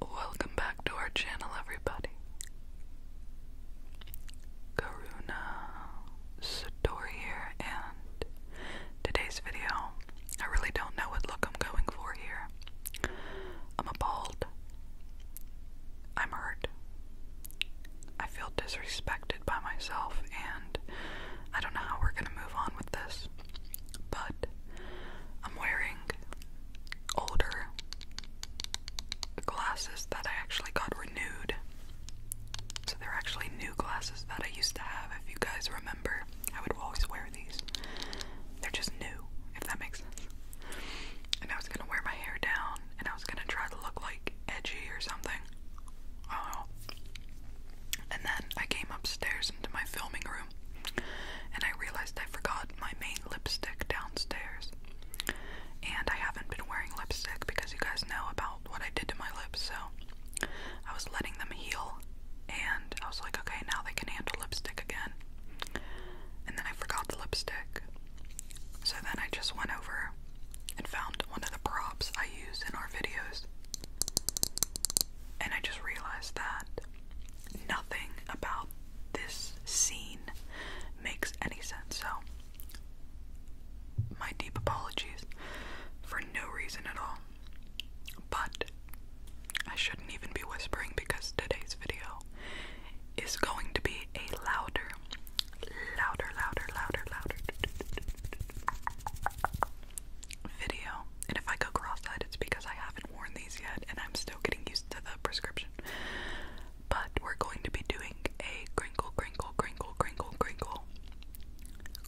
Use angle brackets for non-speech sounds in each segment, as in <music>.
Welcome back to our channel, everybody. Karuna Satori here, and today's video, I really don't know what look I'm going for here. I'm appalled. I'm hurt. I feel disrespected by myself, and I don't know how we're gonna move on with this, but I'm wearing older glasses that I actually got renewed. So they're actually new glasses that I used to have. If you guys remember, I would always wear these. They're just new, if that makes sense. And I was gonna wear my hair down and I was gonna try to look like edgy or something something. Uh, and then I came upstairs into my filming room and I realized I forgot my main lipstick downstairs. And I haven't been wearing lipstick because you guys know about what I did to my lips, so I was letting them heal and I was like, okay, now they can handle lipstick again. And then I forgot the lipstick. So then I just went over and found one of the props I use in our videos and I just realized that nothing about this scene makes any sense. So, my deep apologies for no reason at all. But I shouldn't even be whispering because today's video is going to be a louder, louder, louder, louder, louder video. And if I go cross-eyed, it's because I haven't worn these yet and I'm still getting used to the prescription. But we're going to be doing a crinkle, crinkle, crinkle, crinkle, crinkle.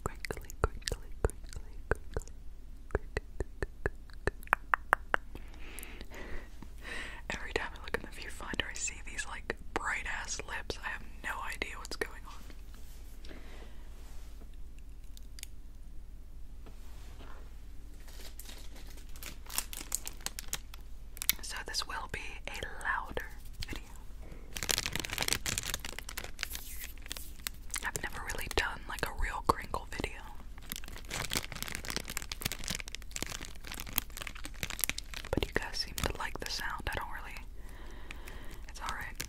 Crinkly, crinkly, crinkly, crinkly. Every time I look in the viewfinder, I see these like bright ass lips. I have no idea what's going on. So, this will be a louder video. I've never really done like a real crinkle video. But you guys seem to like the sound. I don't really. It's alright.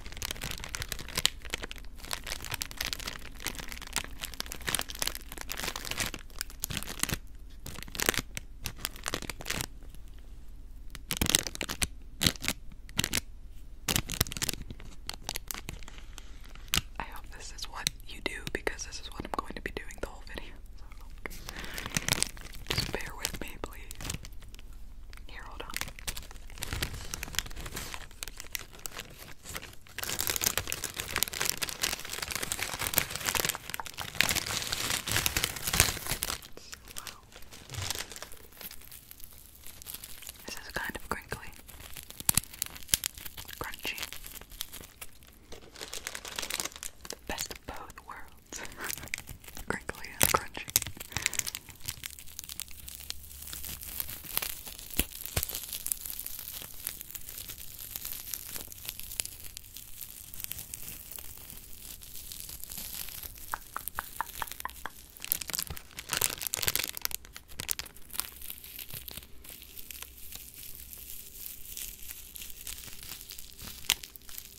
I hope this is what you do because this is what I'm going to be doing the whole video. So just bear with me, please. Here, hold on. This is kind of crinkly, crunchy. Best of both worlds. <laughs> crinkly and crunchy.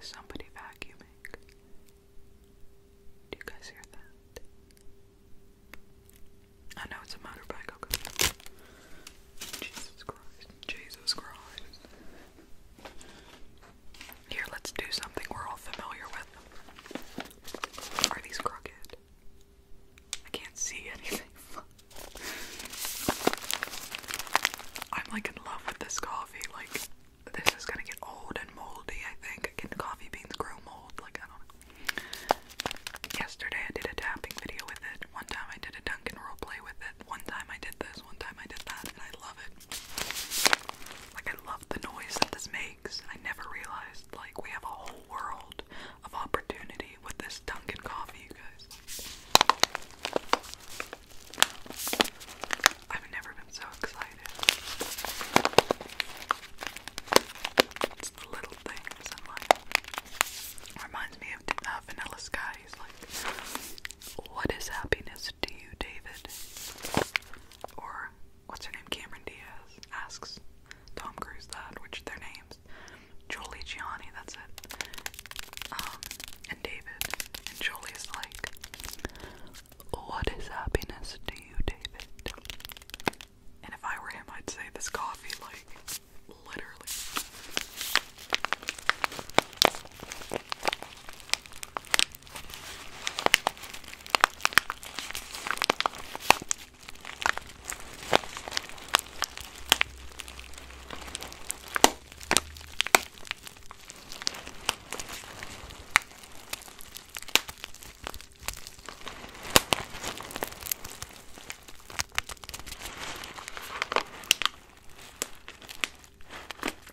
Is somebody vacuuming? Do you guys hear that? I know it's a motorbike, okay. Jesus Christ. Jesus Christ. Here, let's do something we're all familiar with. Are these crooked? I can't see anything. <laughs> I'm like like love with this coffee. Like this is gonna get old and moldy. I think can coffee beans grow mold? Like I don't know. Yesterday I did a tapping video with it. One time I did a Dunkin' role play with it. One time I did this. One time I did that, and I love it. Like I love the noise that this makes. I never realized like we have a whole world of opportunity with this Dunkin' coffee, you guys. I've never been so excited. It's the little things Reminds me of uh, Vanilla Sky. He's like, what is happiness to you, David? Or, what's her name? Cameron Diaz asks Tom Cruise that, which their names. Jolie Gianni, that's it. Um, and David and Jolie is like, "What is happiness to you, David?" And if I were him, I'd say this coffee, like, literally.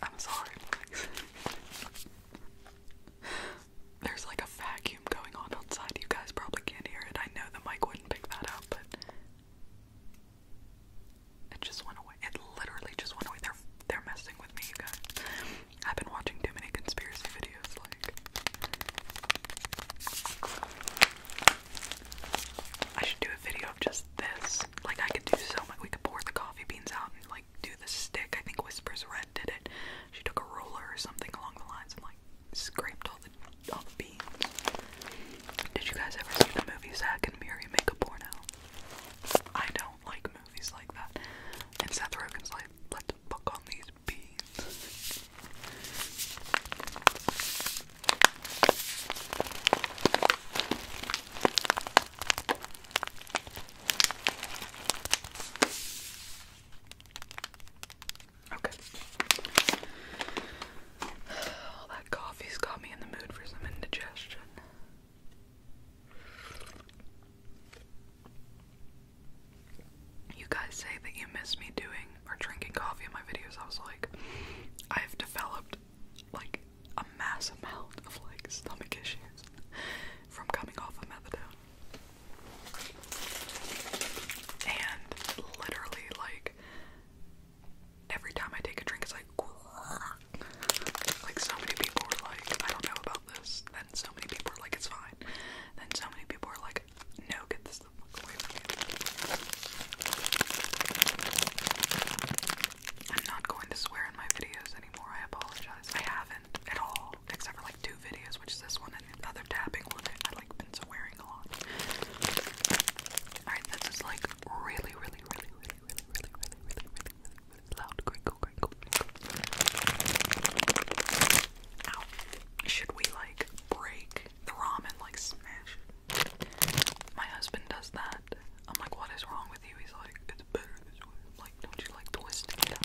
I'm sorry. There's like a vacuum going on outside. You guys probably can't hear it. I know the mic wouldn't pick that up, but it just went away. It literally just went away. They're they're messing with me, guys. I've been watching too many conspiracy videos, like I should do a video of just this. Like I could do so much we could pour the coffee beans out and like do the stick. I think Whispers Red did it. She took a roller or something along the lines and like scraped all the all the beans. Did you guys ever see the movie Zack and Miri make a porno? I don't like movies like that. And Seth Rogen's like, let's fuck on these beans. Okay. All that coffee's got me in the mood for some indigestion. You guys say that you miss me doing or drinking coffee in my videos. I was like, I've developed like a mass amount of like stomach issues from coming off of methadone. And literally, like, every time I take a drink, it's like, like so many people are like, I don't know about this. Then so many people are like, it's fine. Then so many people are like, no, get this the fuck away from me. I'm not going to swear in my videos anymore. I apologize. I haven't at all, except for like two videos, which is this one and the tapping one. I've like been swearing a lot. Alright, this is like really, really, really, really, really, really, really, really, really, really, really loud crinkle, crinkle, crinkle. Ow. Should we, like, break the ramen, like, smash it? My husband does that. I'm like, what is wrong with you? He's like, it's better this way. I'm like, don't you like twisting it up?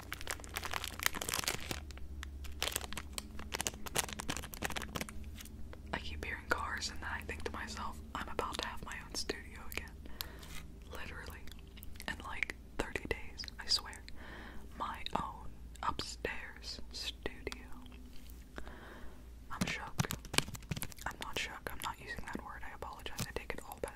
I keep hearing cars, and I think to myself, I'm about to have my own studio again. Literally. In like 30 days, I swear. My own upstairs studio. I'm shook. I'm not shook. I'm not using that word. I apologize. I take it all back.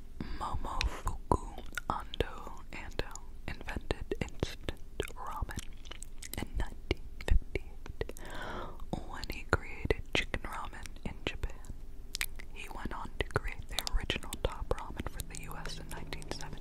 Momofuku Ando Ando um, invented instant ramen in 1958 when he created chicken ramen in Japan. He went on to create the original top ramen for the US in 1970.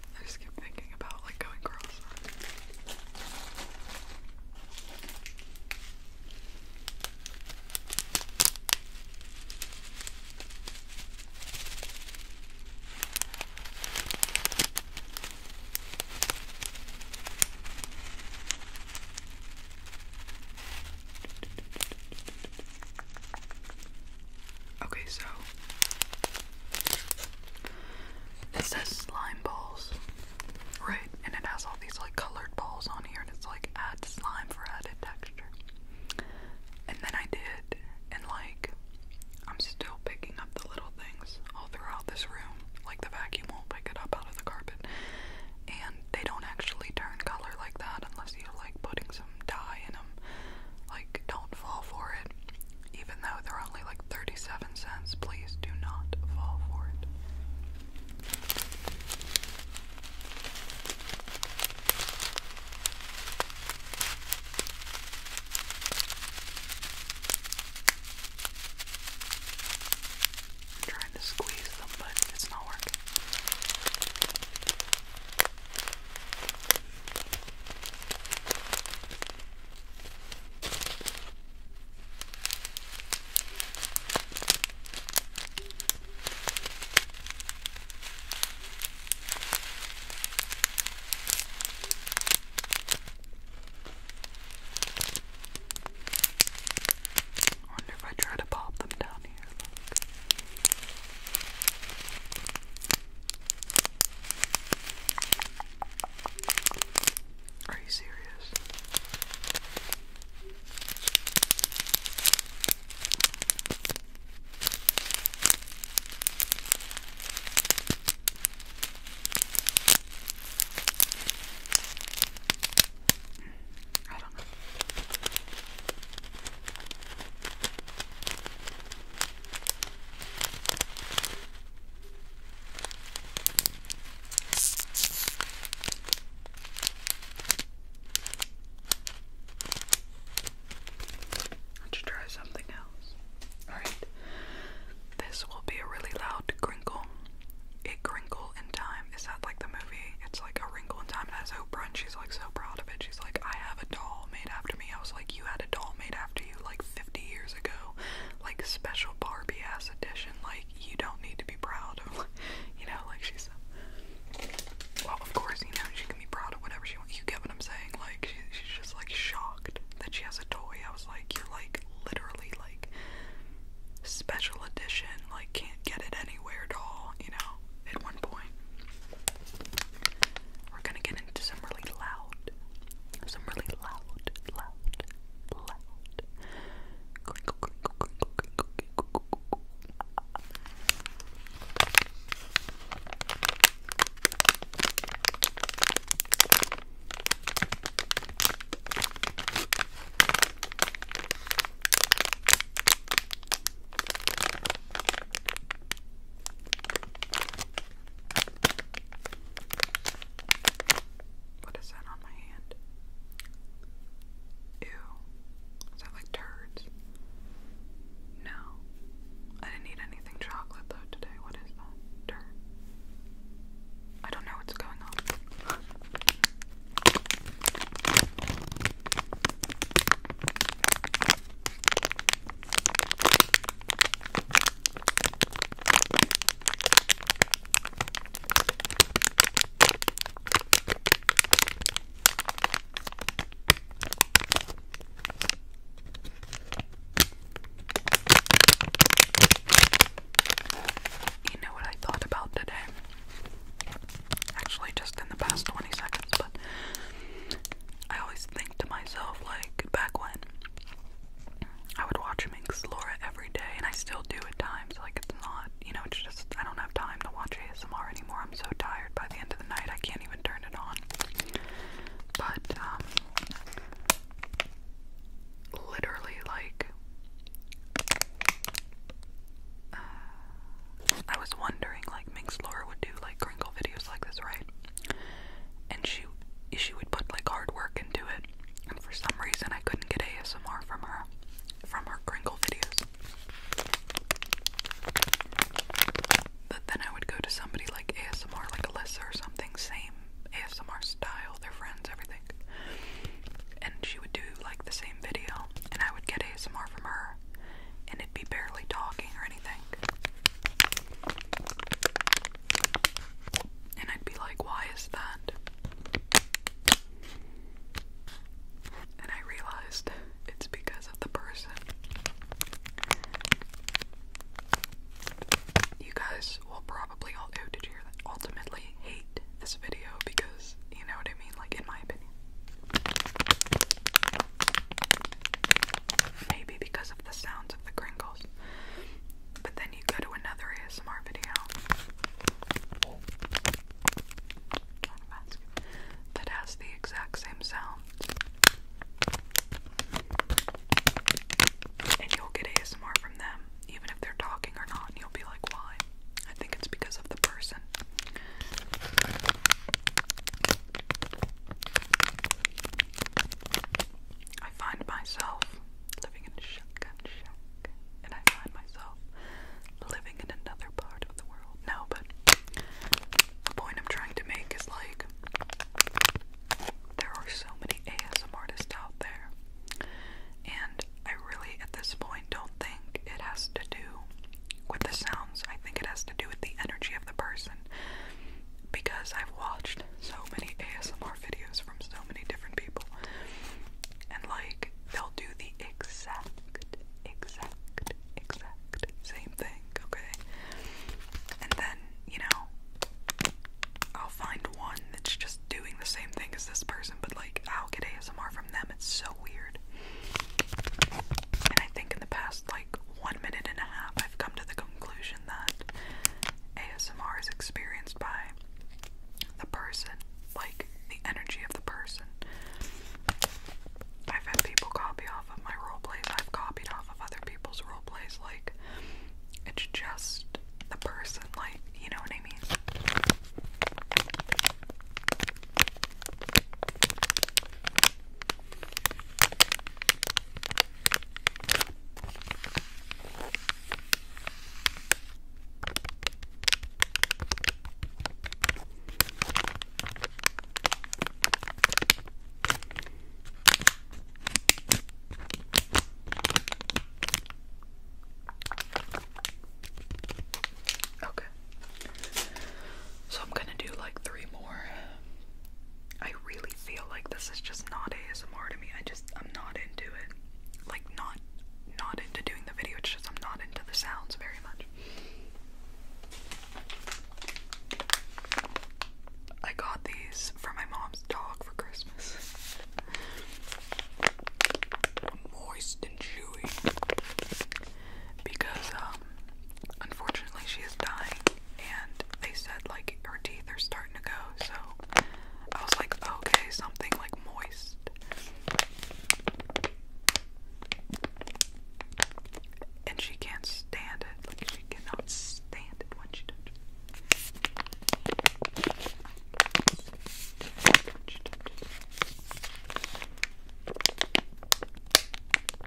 I just keep thinking about like going cross. Okay, so it says slime balls, right? And it has all these like colored balls on here, and it's like add slime for added texture. And then I did, and like I'm still picking up the little things all throughout this room. Like the vacuum won't pick it up out of the carpet, and they don't actually turn color like that unless you're like putting die in them. Like, don't fall for it. Even though they're only like 37 cents, please do not fall for it. I'm trying to squeeze them, but it's not working. I wonder if I try to pop them down here. Look. Are you serious? I don't know. Let's try something else. Alright. This will be a really loud crinkle. A crinkle in time. Is that like the movie? It's like a wrinkle in time and has Oprah she's like so proud of it. She's like, I have a doll made after me. I was like, like you had a doll made after you like 50 years ago, like special Barbie ass edition. Like you don't need to be proud of, <laughs> you know, like she's. Well, of course, you know she can be proud of whatever she wants. You get what I'm saying? Like she, she's just like shocked that she has a toy. I was like, you're like literally like special edition. Like can't get it anywhere, doll. You know, at one point. We're gonna get listening to some really loud, some really loud, loud, loud what is that on my hand? Ew. Is that like turds? No. I didn't eat anything chocolate though today. What is that? Dirt. I don't know what's going on. You know what I thought about today? Actually, just in the past 20 seconds, but I always always think to myself, like, back when I would watch Minx Laura every day, and I still do at times, like, it's not, you know, it's just, I don't have time to watch ASMR anymore, I'm so tired by the end of the night, I can't even turn it on, but, um, literally, like, uh, I was wondering, like, Minx Laura would do like crinkle videos like this, right? And she she would put like hard work into it. And for some reason, I couldn't get ASMR from her from her crinkle videos. But then I would go to somebody like ASMR, like Alyssa or something, same ASMR style, their friends, everything. And she would do like the same video, and I would get ASMR from her, and it'd be barely talking or anything. And I'd be like, why is that? And I realized it's because of the person. You guys will probably all Ultimately hate this video because you know what I mean, like in my opinion. Maybe because of the sounds of the crinkles. But then you go to another ASMR video that has the exact same sound. And you'll get ASMR from them, even if they're talking or not, and you'll be like, why? I think it's because of the person. I find myself living in shotgun shack, and I find myself living in another part of the world. No, but the point I'm trying to make is like, there are so many ASM artists out there, and I really at this point don't think it has to do with the sounds. I think it has to do with the energy of the person because I've watched so many ASMR videos from so many different people, and like they'll do the exact, exact, exact same thing, okay? And then, you know, I'll find one that's just doing the same thing as this person, but like I'll get ASMR from them. It's so weird. And I think in the past like one minute and a half, I've come to the conclusion that ASMR is experienced by the person, like the energy of the person. I've had people copy off of my roleplays, I've copied off of other people's roleplays, like, it's just the person, like, you know what I mean? Okay. So I'm going to do like three more I really feel like this is just not ASMR to me. I just I'm not into it. Like not not into doing the video, it's just I'm not into the sounds very much. I got these for my mom's dog for Christmas. Moist and chewy because um, unfortunately she is dying and they said like her teeth are starting to go so I was like okay something like moist and she can't stand it like she cannot stand it when she touches it.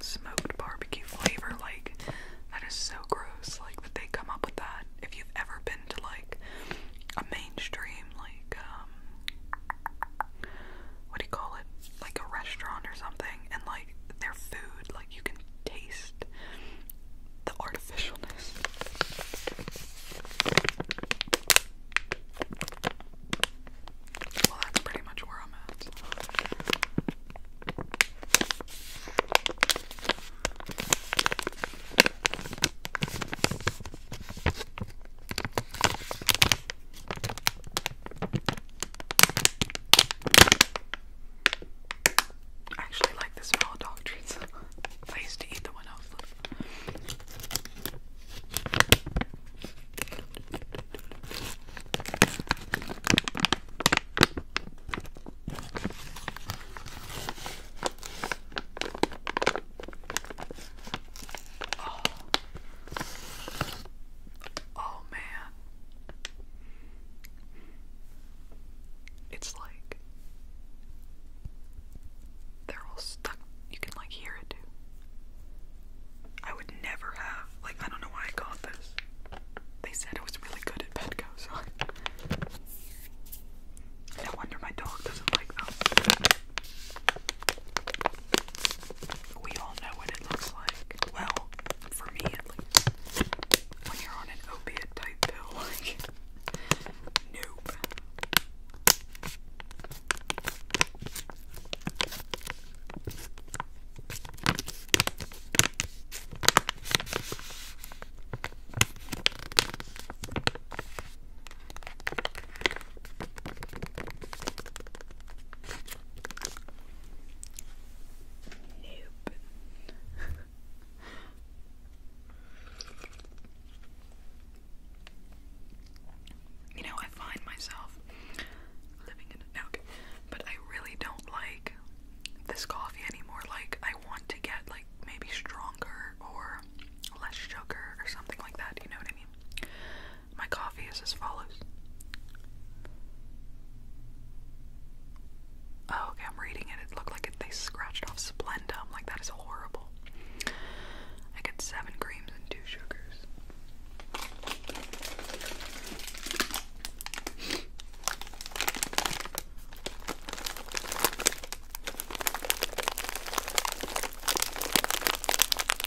Smoked barbecue flavor, like that is so gross. Like that they come up with that. If you've ever been to like a mainstream like um what do you call it? Like a restaurant or something, and like their food, like you can taste the artificialness. Well, that's pretty much where I'm at. I actually like the smell of dog treats. <laughs> I used to eat the one I was Oh man. It's like they're all stuck. You can like hear it too. I would never have like I don't know why I got this. They said it was really good at Petco, so no <laughs> wonder my dog doesn't like them. We all know what it looks like. Well, for me at least. When you're on an opiate type pill, like, nope. Nope. you know, I find myself living in okay, but I really don't like this coffee anymore. Like, I want to get like maybe stronger or less sugar or something like that. You know what I mean? My coffee is as follows. Oh, okay, I'm reading it. It looked like they scratched off Splenda. like, that is horrible. I get seven creams and two sugars.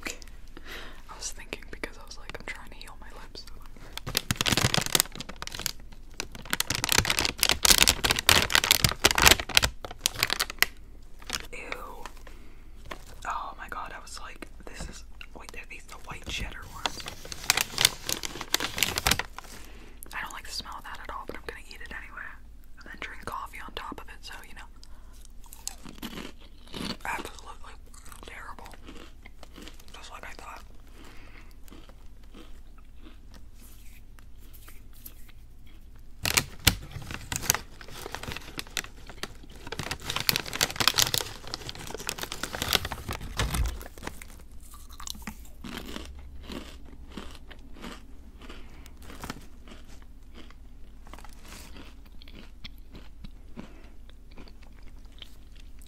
Okay. I was thinking because I was like, I'm trying to heal my lips. Ew. Oh my god, I was like, this is. Wait, are these the white cheddar ones? I don't like the smell of that at all, but I'm gonna eat it anyway. And then drink coffee on top of it, so you know. Absolutely Terrible. Just like I thought.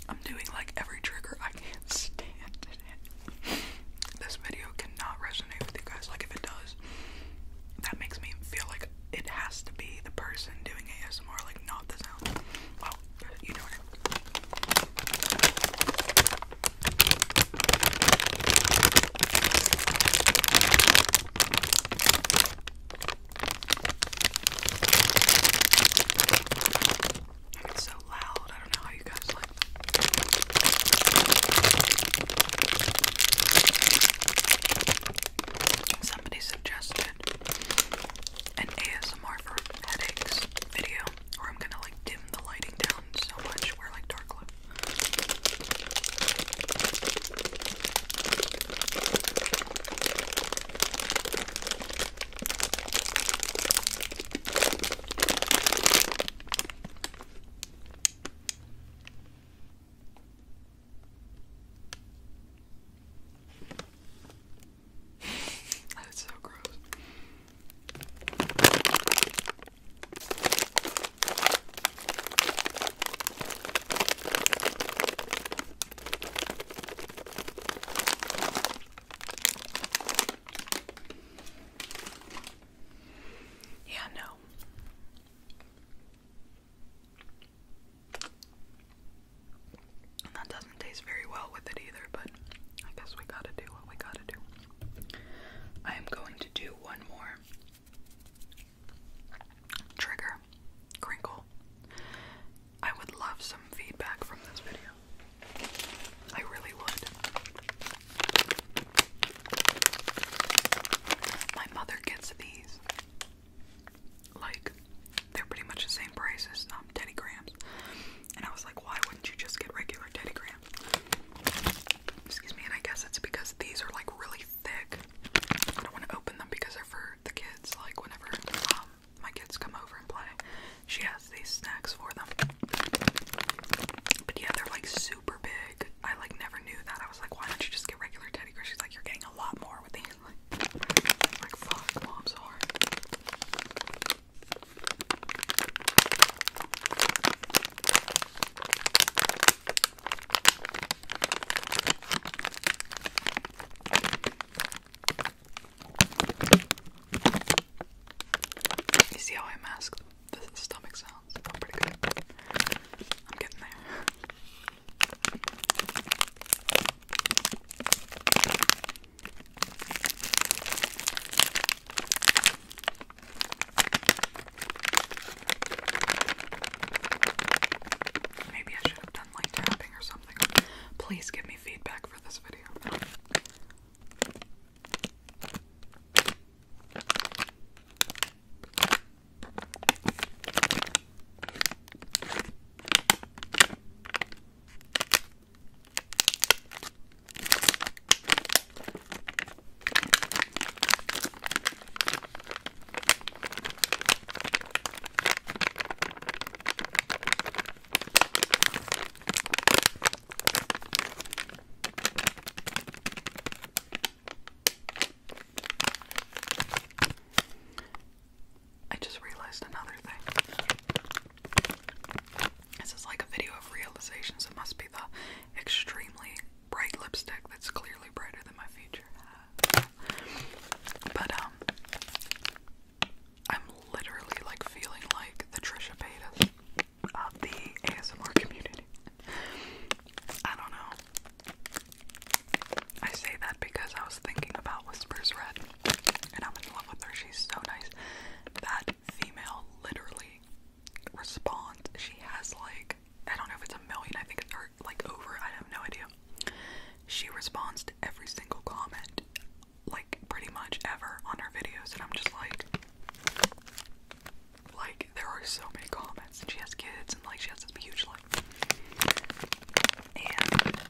I'm doing like every trigger I can't <laughs> stand it. This video cannot resonate with you guys. Like if it does, that makes me feel like it has to be the person doing ASMR, like not this. sound. you know it. It's so loud. I don't know how you guys like that. Somebody suggested an ASMR for headaches video where I'm gonna like dim the lighting down so much we like dark look. That's so gross. Yeah, no. that doesn't taste very well with it either, but I guess we gotta do what we gotta do. I am going to do one more Trigger, crinkle. I would love some feedback from this video. I really would. My mother gets these. Like, they're pretty much the same price um, Teddy Grahams. And I was like, why wouldn't you just get regular Teddy Grahams? Excuse me, and I guess it's because these are like really thick. I don't want to open them because they're for the kids, like whenever um, my kids come over and play, she has these snacks for them. But yeah, they're like super big. I like never knew that. I was like, why don't you just get regular teddy bears? She's like, you're getting a lot more with these. Like, <laughs> like fuck, mom's hard. You see how I masked the stomach sounds? Oh, pretty good. I'm getting there. Maybe I should have done like tapping or something. Please give me feedback for this video. I just realized another thing. This is like a video of realizations. It must be the extremely bright lipstick that's clearly brighter than my feature. But um I'm literally like feeling like the Trisha Paytas of the ASMR community. I don't know. I say that because I was thinking about Whispers Red and I'm in love with her. She's so nice. That female literally responds. She has like I don't know if it's a million, I think it's like over, I have no idea. She responds to every single comment, like pretty much ever on her videos, and I'm just like like there are so many comments and she has kids and like she has this huge life. And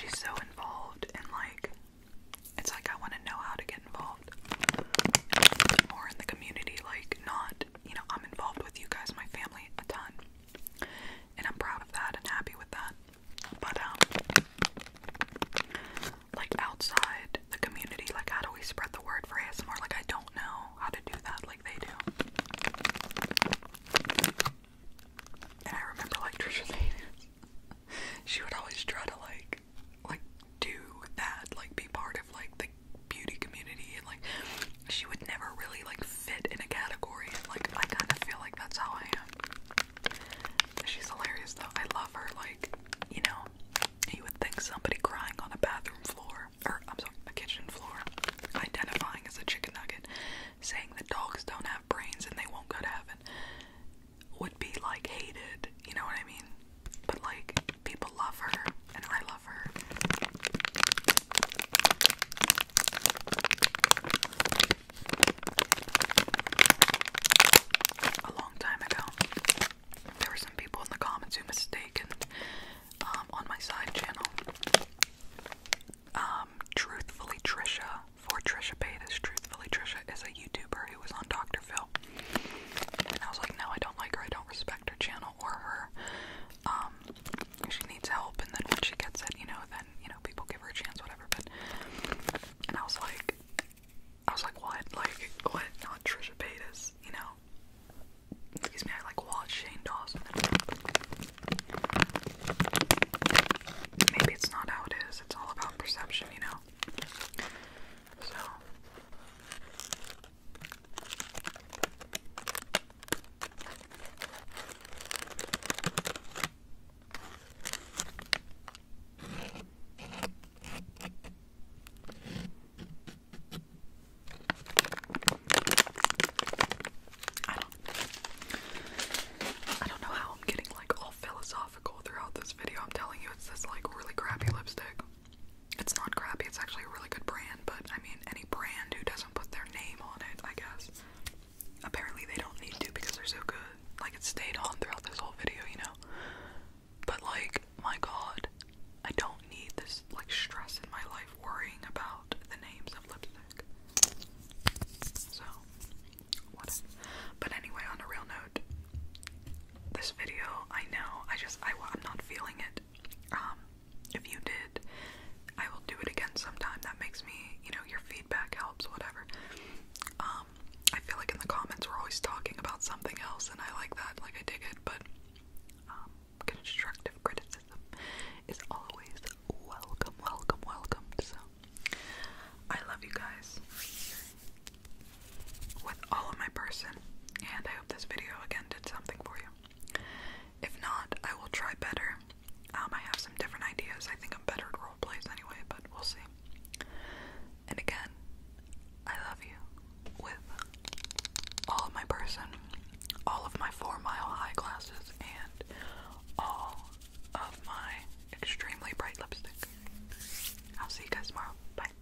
she's so involved and like it's like I want to know how to get involved more in the community, like not you know, I'm involved with you guys, my family, a ton. And I'm proud of that and happy with that. But, um, like outside the community, like how do we spread the word for ASMR? Like, I don't know how to do that like they do. And I remember, like, <laughs> Trisha Paytas, she would always try to, like, like do that, like be part of like the beauty community and like she would never really like fit in a category and like I kind of feel like that's how I am. She's hilarious though. I love her like, you know, you would think somebody crying on a bathroom floor or I'm sorry, a kitchen floor, identifying as a chicken nugget, saying that dogs don't have brains and they won't go to heaven would be like hated, you know what I mean? But like people love her and I love her. A long time ago, there were some people in the comments who mistaken um, on my side channel. Um, truthfully, Trisha for Trisha Paytas. Truthfully, Trisha is a YouTuber who was on Dr. Phil. And I was like, no, I don't like her. I don't respect her channel or her. Um, she needs help, and then when she gets it, you know, then you know people give her a chance, whatever. But and I was like, I was like, what? Like what? Not Trisha Paytas, you know? Excuse me. I like watch Shane Dawson. Maybe it's not how it is. It's all about perception, you know. So I don't I don't know how I'm getting like all philosophical throughout this video. I'm telling you it's this like really crappy lipstick. It's not crappy, it's actually a really good brand, but I mean, any brand who doesn't put their name on it, I guess. Apparently, they don't need to because they're so good. Like, it stayed on throughout this whole video, you know? But, like, my god, I don't need this, like, stress in my life worrying about the names of lipstick. So, what? But anyway, on a real note, this video, I know, I just, I, I'm not feeling it. Um, if you did, I will do it again sometime. That makes me, you know, your feedback helps, whatever. Um, I feel like in the comments we're always talking about something else, and I like that, like I dig it, but um, constructive criticism is always welcome, welcome, welcome. So, I love you guys with all of my person and I hope this video again did something for you. If not, I will try better. Um, I might have some different ideas. I think I'm better at role plays anyway, but we'll see. And again, I love you with all of my person, all of my four mile high glasses, and all of my extremely bright lipstick. I'll see you guys tomorrow. Bye.